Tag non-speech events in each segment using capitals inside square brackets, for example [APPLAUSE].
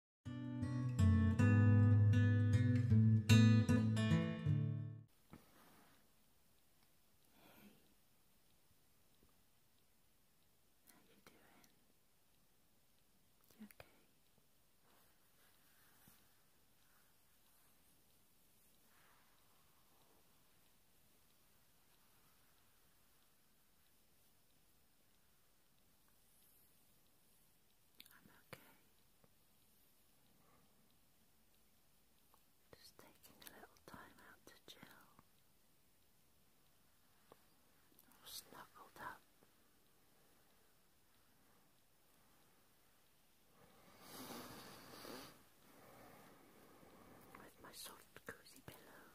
You okay? I'm okay. Just taking a little time out to chill. snuggled up. With my soft cozy pillow.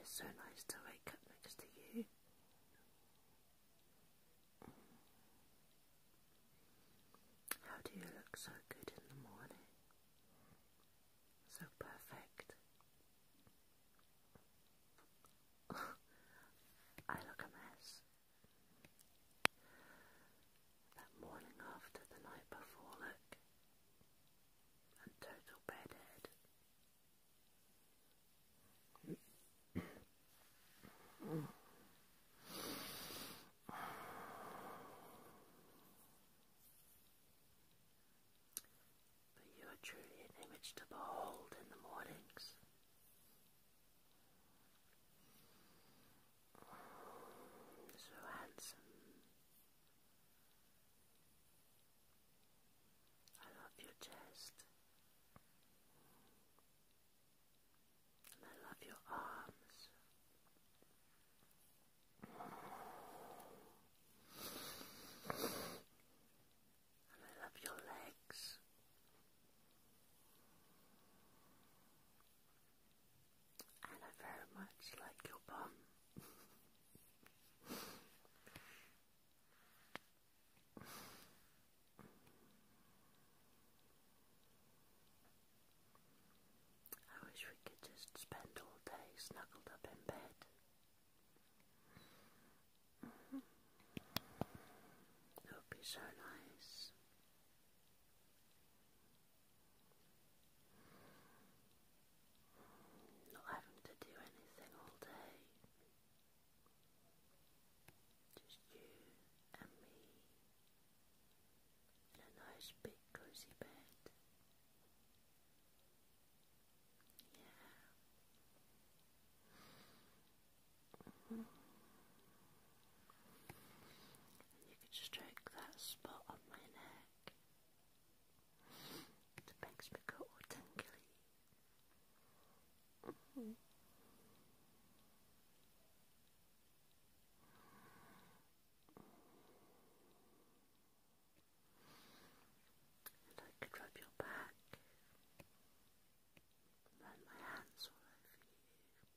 It's so nice to wake up next to you. How do you look so good in the morning? So perfect. [LAUGHS] I look a mess. That morning after the night before, look, and total bedhead. But you are truly an image to behold in the mornings. So handsome. I love your chest. I love your arms. And I love your legs. And I very much like your bum. I wish we could just spend all day snuggled up in bed. Mm-hmm. It would be so nice. Not having to do anything all day. Just you and me in a nice big cozy bed. Yeah. Mm You could stroke that spot on my neck that makes me go all tingly. I could rub your back. Run my hands all over you.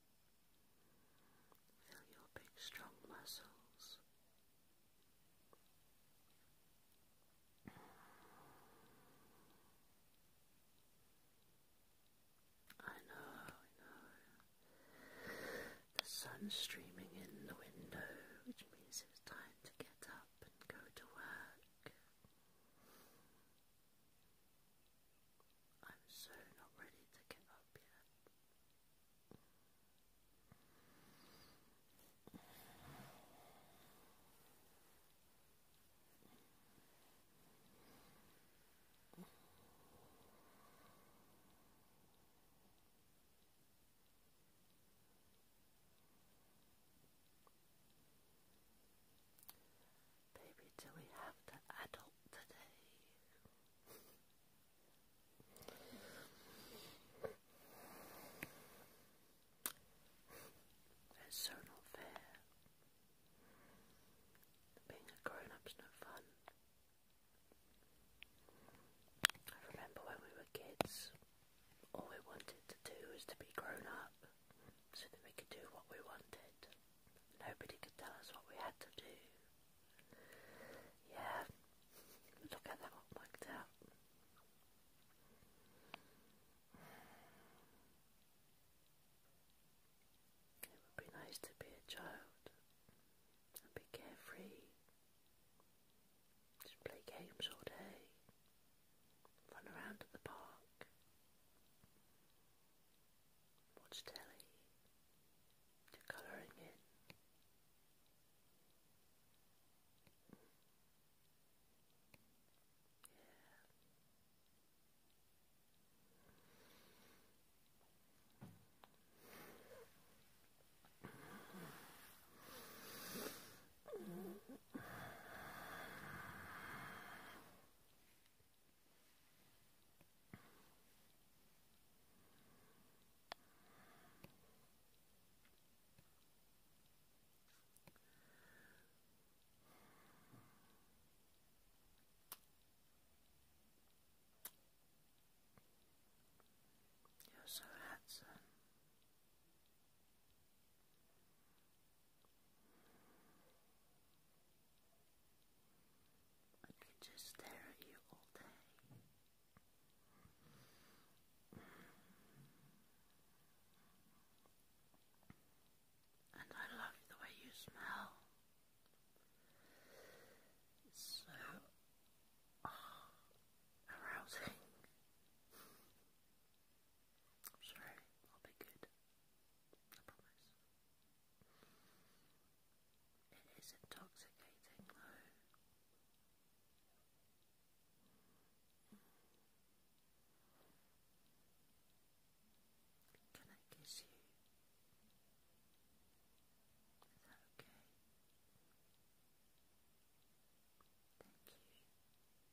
Feel your big strong muscles. I know, I know. The sun's streaming in the window, which means it's time to get up and go to work. I'm so not ready to get up yet. Baby, do we have to adult today? It's so not fair. Being a grown up's no fun. I remember when we were kids, all we wanted to do was to be grown up so that we could do what we wanted. Nobody could tell us what we had to do. Yeah, look at that one worked out. It would be nice to be a child and be carefree. Just play games all day run around at the park, watch telly, do colouring in. Yeah. You're so handsome. I could just stare at you all day. And I love the way you smell. It's so oh, arousing. I'm sure I'll be good. I promise. It is intoxicating Can I kiss you? Is that okay? Thank you. I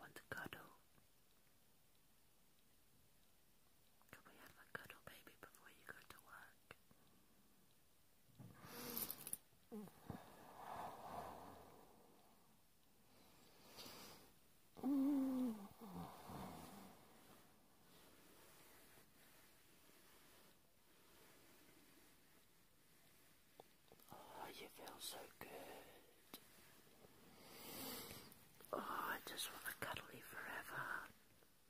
want to cuddle. Can we have a cuddle baby before you go to work? Oh, you feel so good. Oh, I just want to cuddle you forever.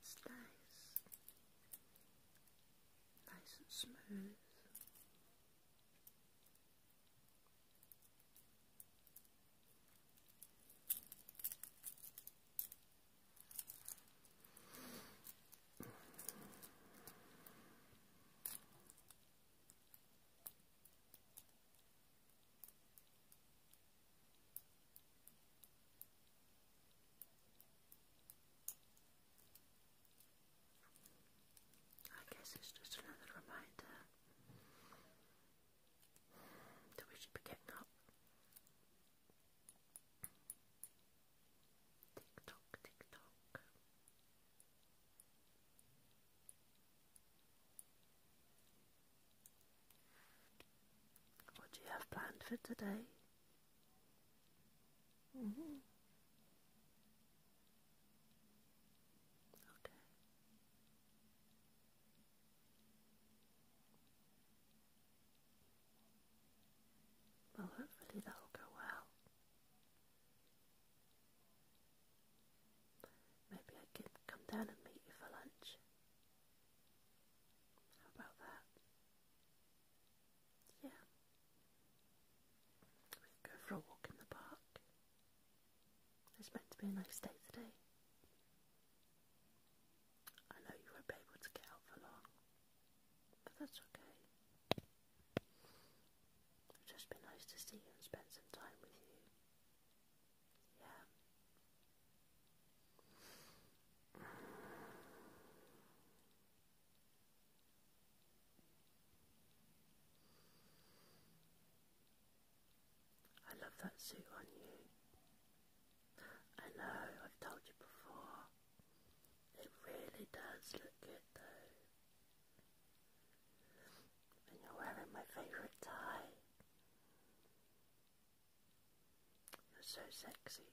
It's nice, nice and smooth. I guess it's just another reminder that we should be getting up. Tick tock, What do you have planned for today? Mm-hmm. Okay. Well, hopefully that'll go well. Maybe I could come down and meet you for lunch. How about that? Yeah. We could go for a walk in the park. It's meant to be a nice day today. I know you won't be able to get out for long, but that's okay. It'll just be nice to see and spend some time with you. Yeah. I love that suit on you. I know, I've told you before. It really does look good though. And you're wearing my favourite tie. You're so sexy.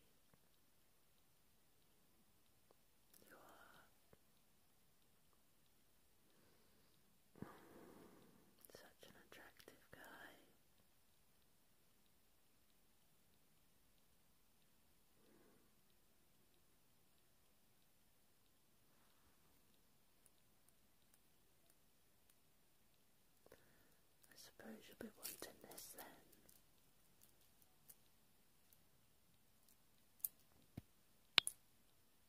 You are. Such an attractive guy. I suppose you'll be wanting this then.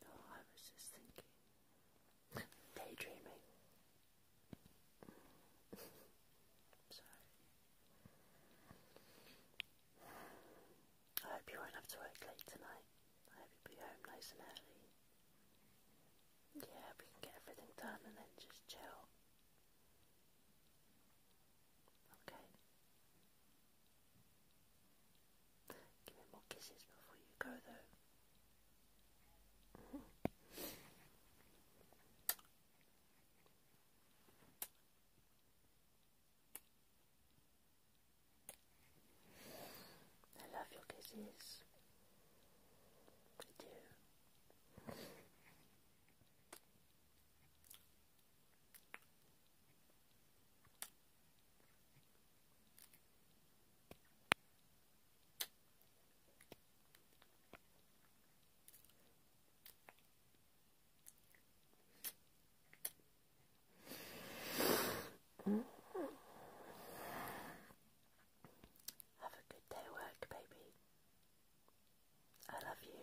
No, oh, I was just thinking, daydreaming. [LAUGHS] Sorry. I hope you won't have to work late tonight. I hope you be home nice and early. Yeah, we can get everything done and then just chill. Okay. Give me more kisses before you go, though. I love your kisses. I do. Have a good day at work, baby. I love you.